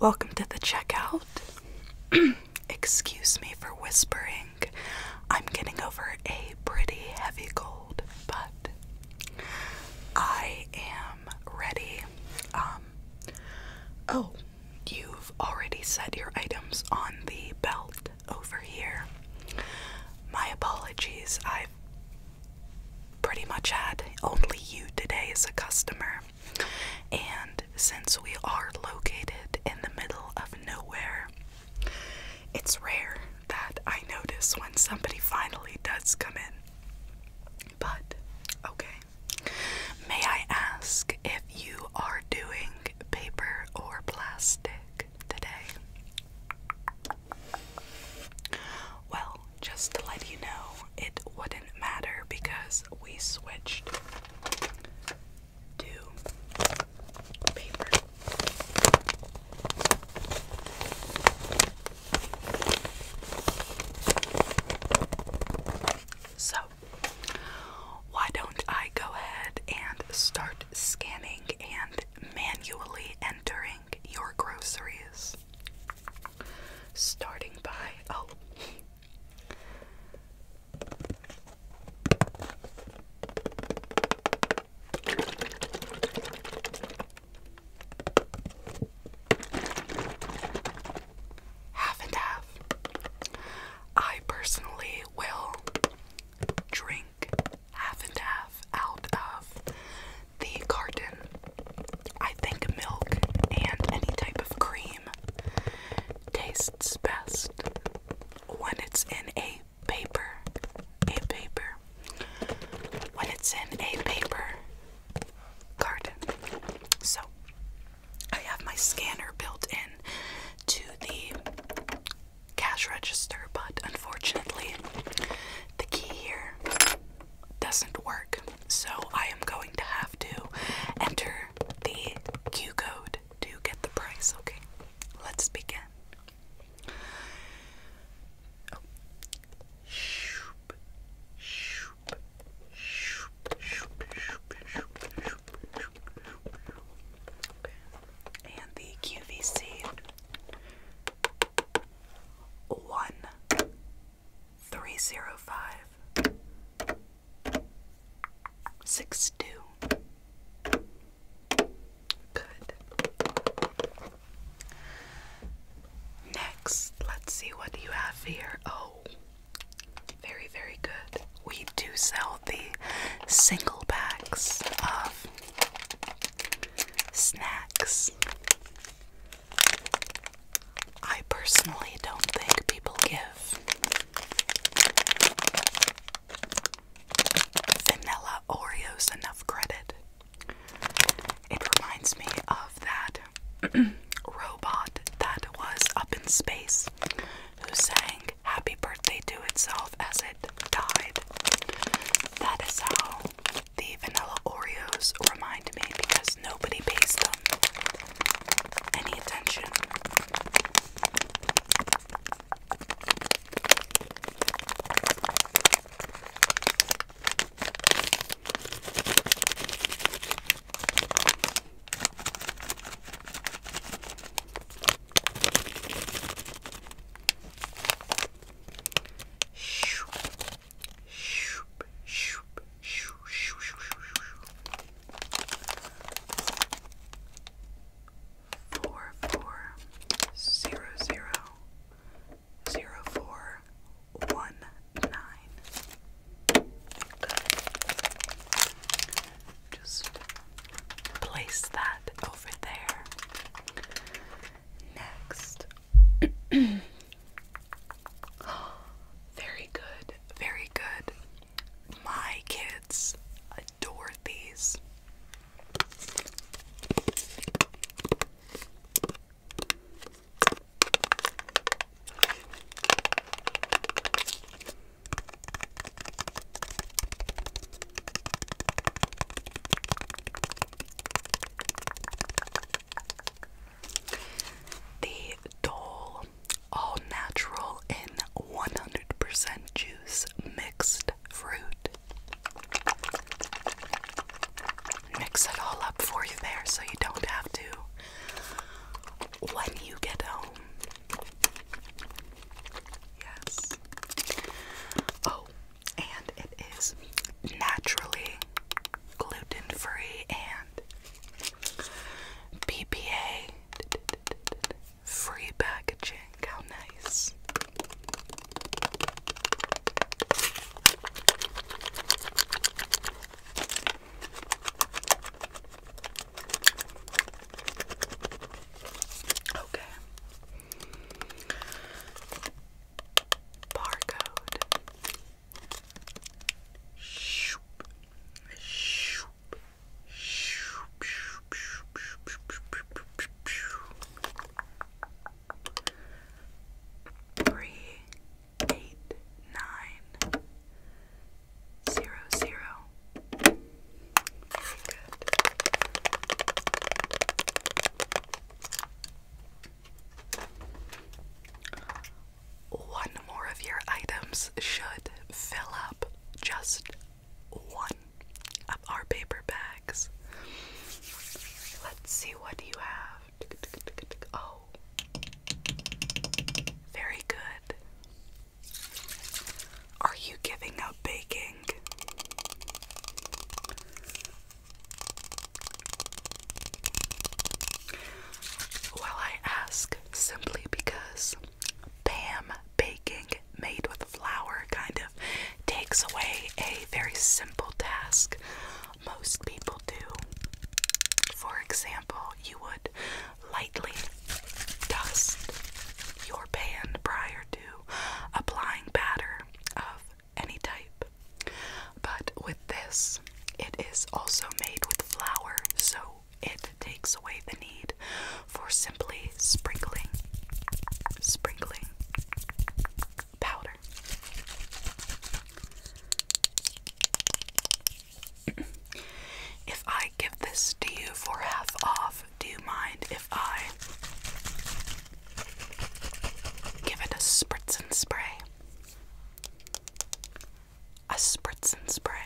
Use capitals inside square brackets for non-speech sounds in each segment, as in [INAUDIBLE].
Welcome to the checkout. [CLEARS THROAT] Excuse me for whispering. I'm getting over a pretty heavy cold, but I am ready. Um, oh, you've already set your items on the belt over here. My apologies, I've pretty much had only you today as a customer. And since we are located in the middle of nowhere, it's rare that I notice when somebody finally does come in. But, okay. May I ask if you are doing paper or plastic today? Well, just to let you know, it wouldn't matter because we switched to paper. So, why don't I go ahead and start scanning and manually entering your groceries. Starting by, oh. Half and half. I personally will drink half and half out of the carton. I think milk and any type of cream tastes best when it's in a paper. A paper. When it's in a paper carton. So I have my scanner built in to the cash register, but unfortunately, the key here doesn't work. So I am going to have to enter the Q code to get the price. Okay, let's begin. Oh. Shoop, shoop, shoop, shoop, shoop, shoop, shoop, shoop, shoop. Okay. And the QVC one three zero five six two. Good. Next, let's see what you have here. Oh, very, very good. We do sell the single packs of Snacks. I personally don't think people give vanilla Oreos enough credit. It reminds me of that [CLEARS THROAT] robot that was up in space who sang happy birthday to itself as it died. That is how the vanilla Oreos remind me because nobody pays them any attention. Four four zero zero zero four one nine. Just place that over there. Next. [GASPS] very good, very good. My kids adore these. The Dole All Natural in 100% Juice Mixed Fruit. Mix it all up for you there so you don't have to when you get home. Yes. Oh, and it is naturally gluten free and BPA free packaging. How nice! Okay. Barcode. Shoop. Shoop. Shoop. Shoop. Shoop. Shoop. Shoop. Shoop. Three eight nine zero zero. Very good. One more of your items should fill up just one of our paper bags. Let's see what you have. Oh, very good. Are you giving up baking? Well, I ask simply because Pam baking made with flour kind of takes away a very simple task most people do. For example, you would lightly dust your pan prior to applying batter of any type. But with this, it is also made with flour, so it takes away the need for simply sprinkling, sprinkling powder. [CLEARS THROAT] if I give this to you for half off, do you mind if I Give it a spritz and spray. A spritz and spray.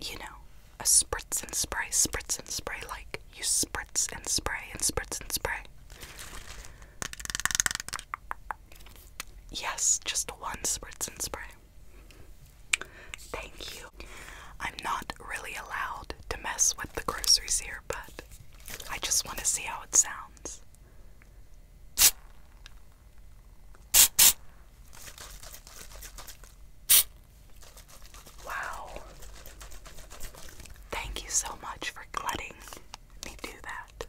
You know, a spritz and spray, spritz and spray, like you spritz and spray and spritz and spray. Yes, just one spritz and spray. Thank you. I'm not really allowed to mess with the groceries here but I just want to see how it sounds. Wow. Thank you so much for letting me do that.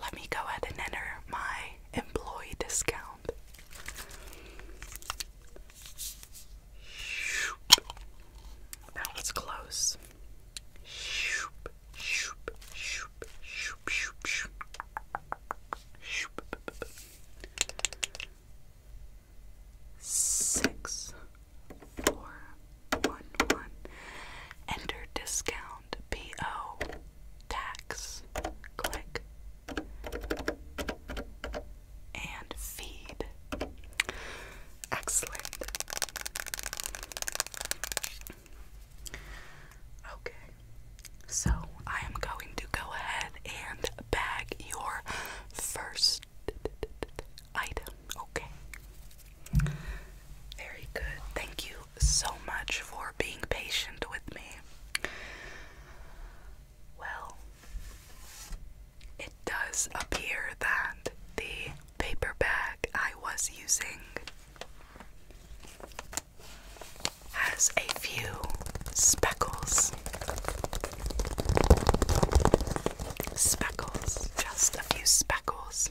Let me go ahead and enter my employee discount. That was close. Six, four, one, one. Enter discount PO tax. Click and feed. Excellent. Okay, so I am going to go ahead and bag your first item, okay? Very good. Thank you so much for being patient with me. Well, it does appear that the paper bag I was using has a few speckles. Speckles, just a few speckles.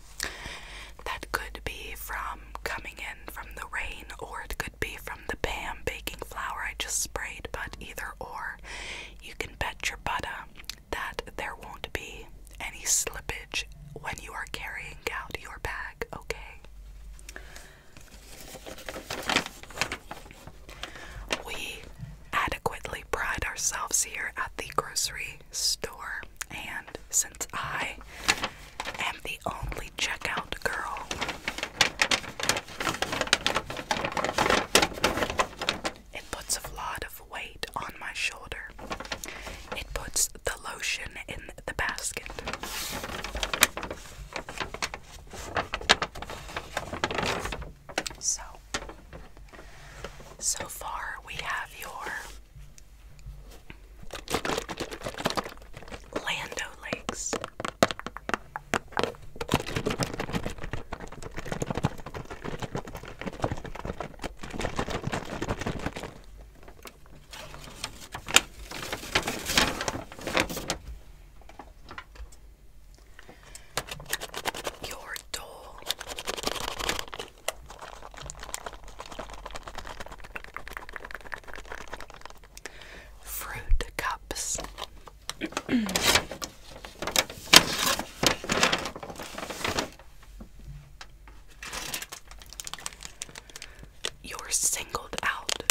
That could be from coming in from the rain, or it could be from the Pam baking flour I just sprayed, but either or. You can bet your butter that there won't be any slippage when you are carrying out your bag, okay? We adequately pride ourselves here at the grocery store, and since I am the only checkout girl, it puts a lot of weight on my shoulder. It puts the lotion in the basket. So, so far we have your Lando Lakes your door. Fruit cups. [CLEARS THROAT] You're singled out.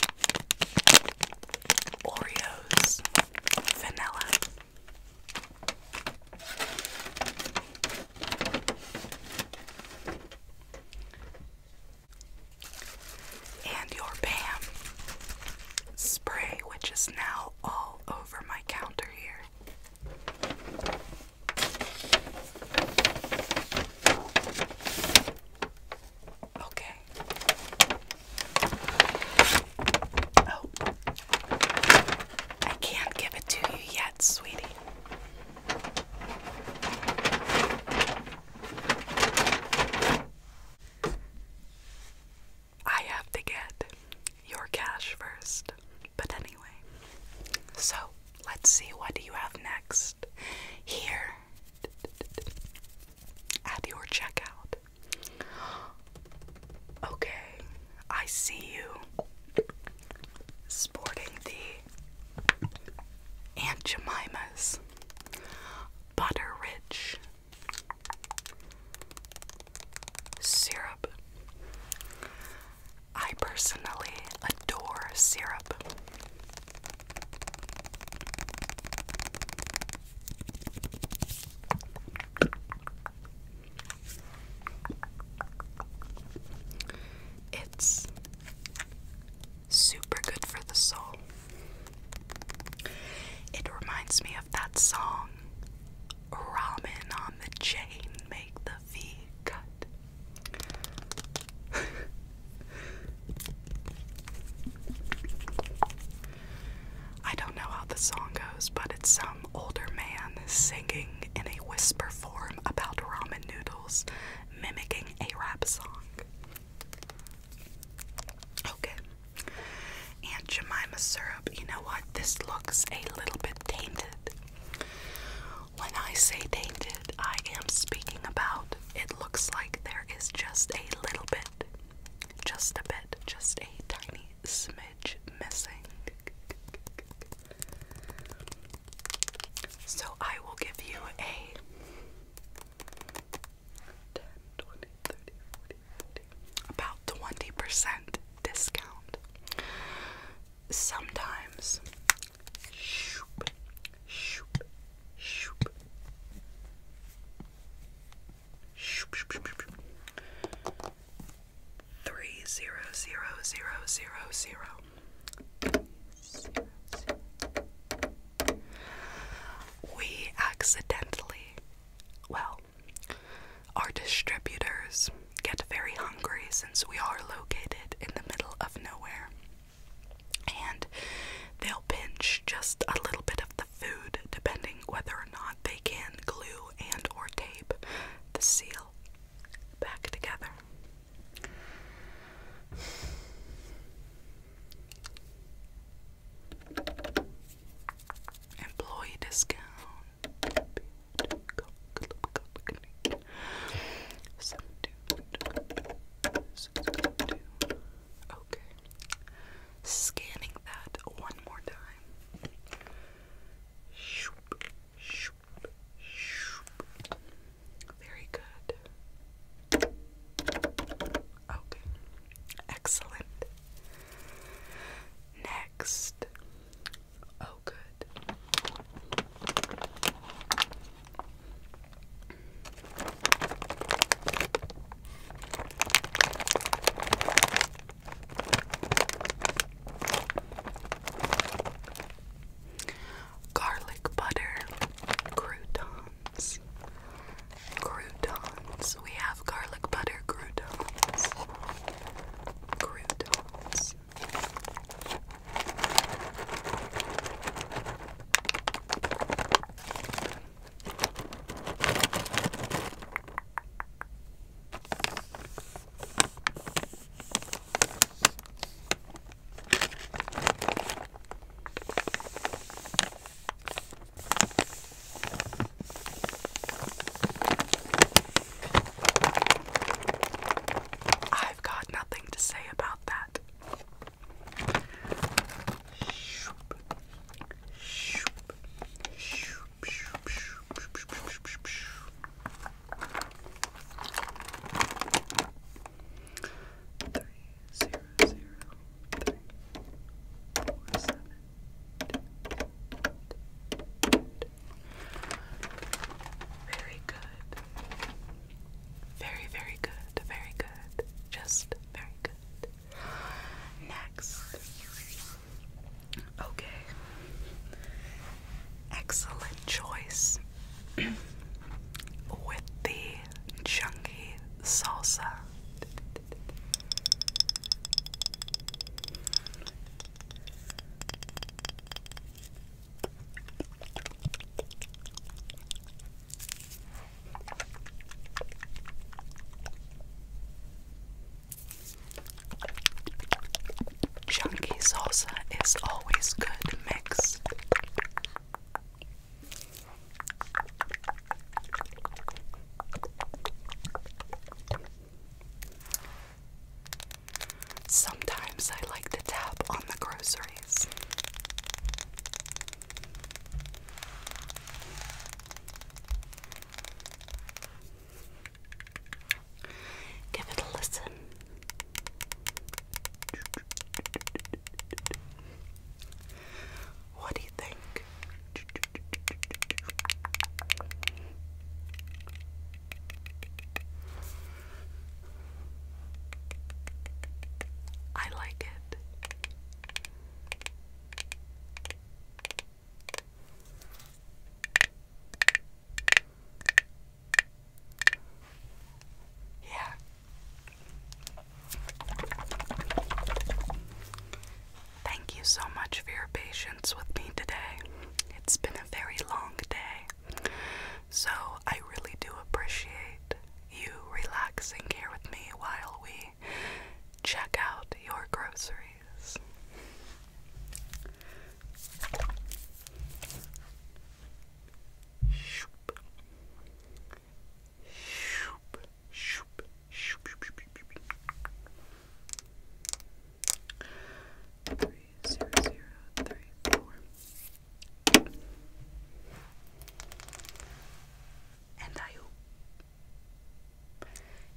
Oreos, vanilla. And your BAM spray, which is now all over my counter here. Okay. Oh. I can't give it to you yet, sweetie. I have to get your cash first. But anyway, so let's see what do you have next here at your checkout. Okay, I see you sporting the Aunt Jemima's Butter Rich Syrup. I personally adore syrup. It's super good for the soul. It reminds me of that song, ramen on the chain make the V cut. I don't know how the song goes, but it's some older man singing in a whisper form about ramen noodles, mimicking a rap song. Okay. Aunt Jemima syrup, you know what? This looks a little bit tainted. When I say tainted, I am speaking about it looks like there is just a little bit, just a bit, just a tiny smidge missing. So I will give you a 10, about 20% discount. Sometimes, Three zero zero zero zero zero. We accidentally, well, our distributors get very hungry since we are located in the middle of nowhere. And they'll pinch just a little bit of the food depending whether or not they can glue and or tape the seal back together employee discount. Okay. Scanning that one more time. Very good. Okay. Excellent next. Oh, good. Garlic butter Croutons. We have garlic butter croutons. Croutons. I've got nothing to say about that. Very good. Very, very good. Very good. Just very good. Next. Okay. Excellent choice [CLEARS THROAT] with the chunky salsa. Chunky salsa is always good mix. Sometimes I like to tap on the groceries. Give it a listen. What do you I like it. Yeah. Thank you so much for your patience with me today. It's been a very long day, so I really do appreciate you relaxing here with me while we check out your groceries. Three zero zero three four. And I hope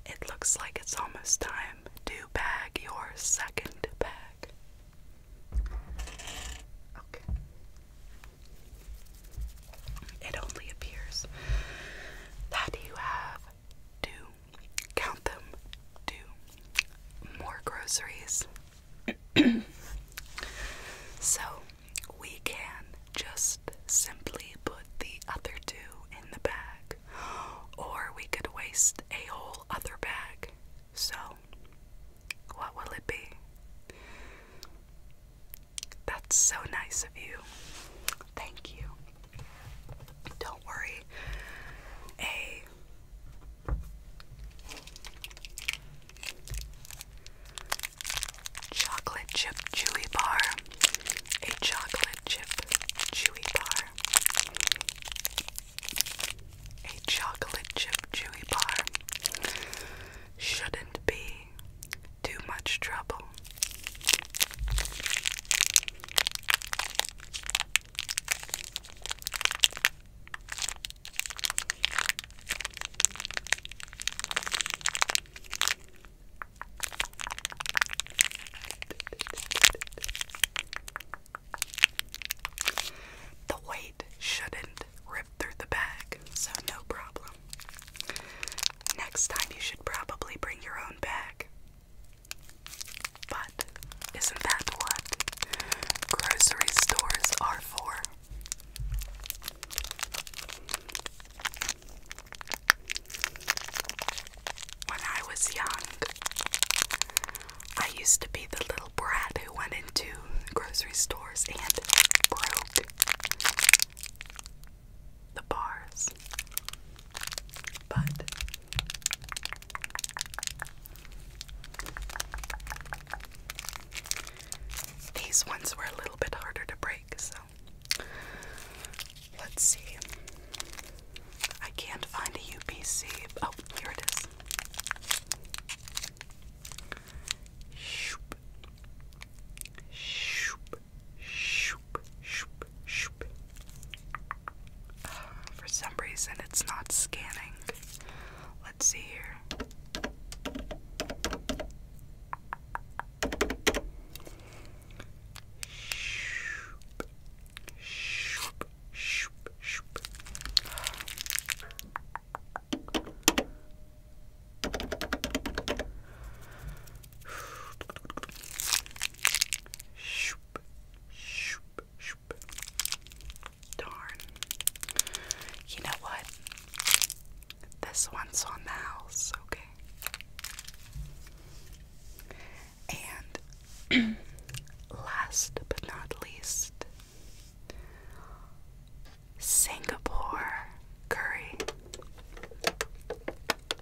it looks like it's almost time to bag your second bag. Okay. It only appears that you have two, count them, two more groceries. [CLEARS THROAT] so we can just simply put the other two in the bag, or we could waste a whole other bag. So, what will it be? That's so nice of you. Thank you. Don't worry. A chocolate chip chewy bar. A chocolate chip chewy bar. A chocolate chip chewy bar shouldn't be too much trouble. The weight shouldn't rip through the bag, so no problem. Next time, you should probably bring your own bag. But isn't that what grocery stores are for? When I was young, I used to be the little brat who went into grocery stores and broke the bars. But these ones were a little bit harder to break, so let's see. I can't find a UPC. Oh, here it is. Shoop. Shoop. [SIGHS] for some reason, it's not scanning. Let's see here. Shoop, shoop, shoop. Darn. You know what? This one's on the house, okay? And [CLEARS THROAT] last but not least, Singapore curry.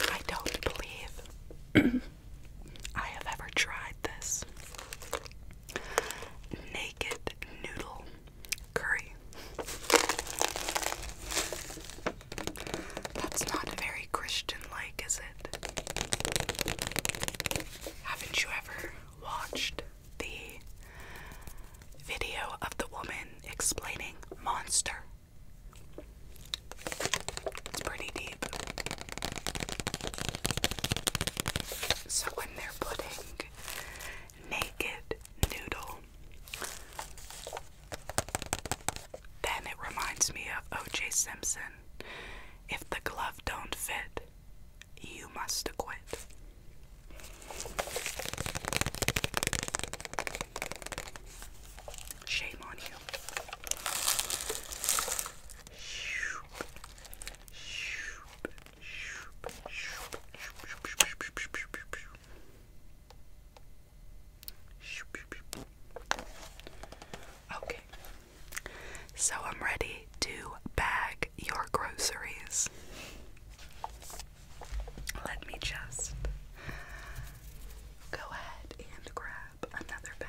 I don't believe I have ever tried this naked noodle curry. That's not very Christian like, is it? Haven't you ever watched the video of the woman explaining Monster? It's pretty deep. So when they're putting naked noodle then it reminds me of O.J. Simpson. If the glove don't fit, you must acquit. Shame on you. Okay, so I'm ready to bag your groceries. Let me just go ahead and grab another bag.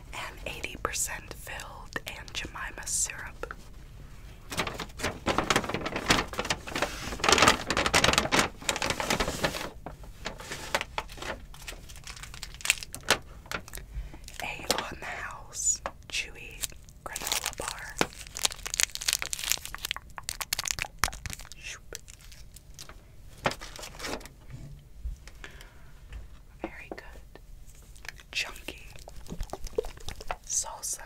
and 80% filled and Jemima syrup. A on the house chewy granola bar. Very good chunky salsa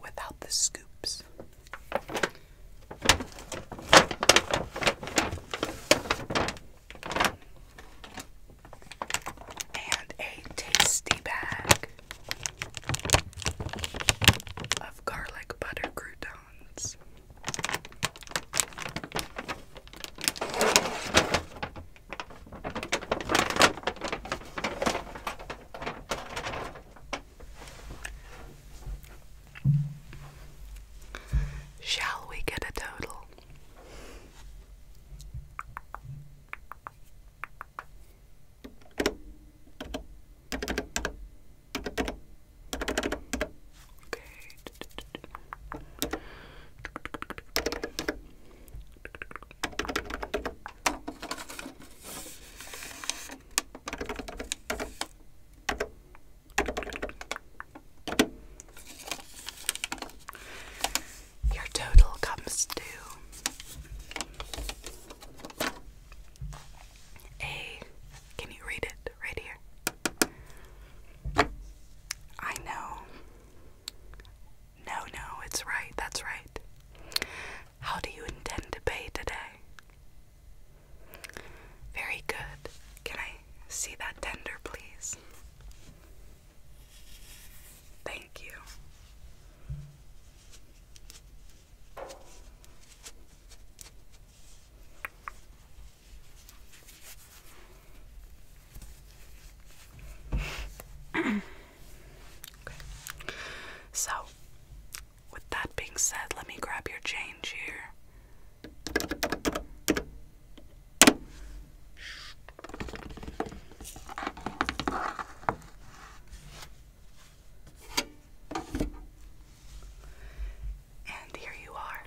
without the scoops. And a tasty bag of garlic butter croutons. Shall we get a total? Your total comes to a. Can you read it right here? I know no, no, it's right, that's right. How do you intend to pay today? Very good. Can I see that tender, please? Thank you. So, with that being said, let me grab your change here. And here you are.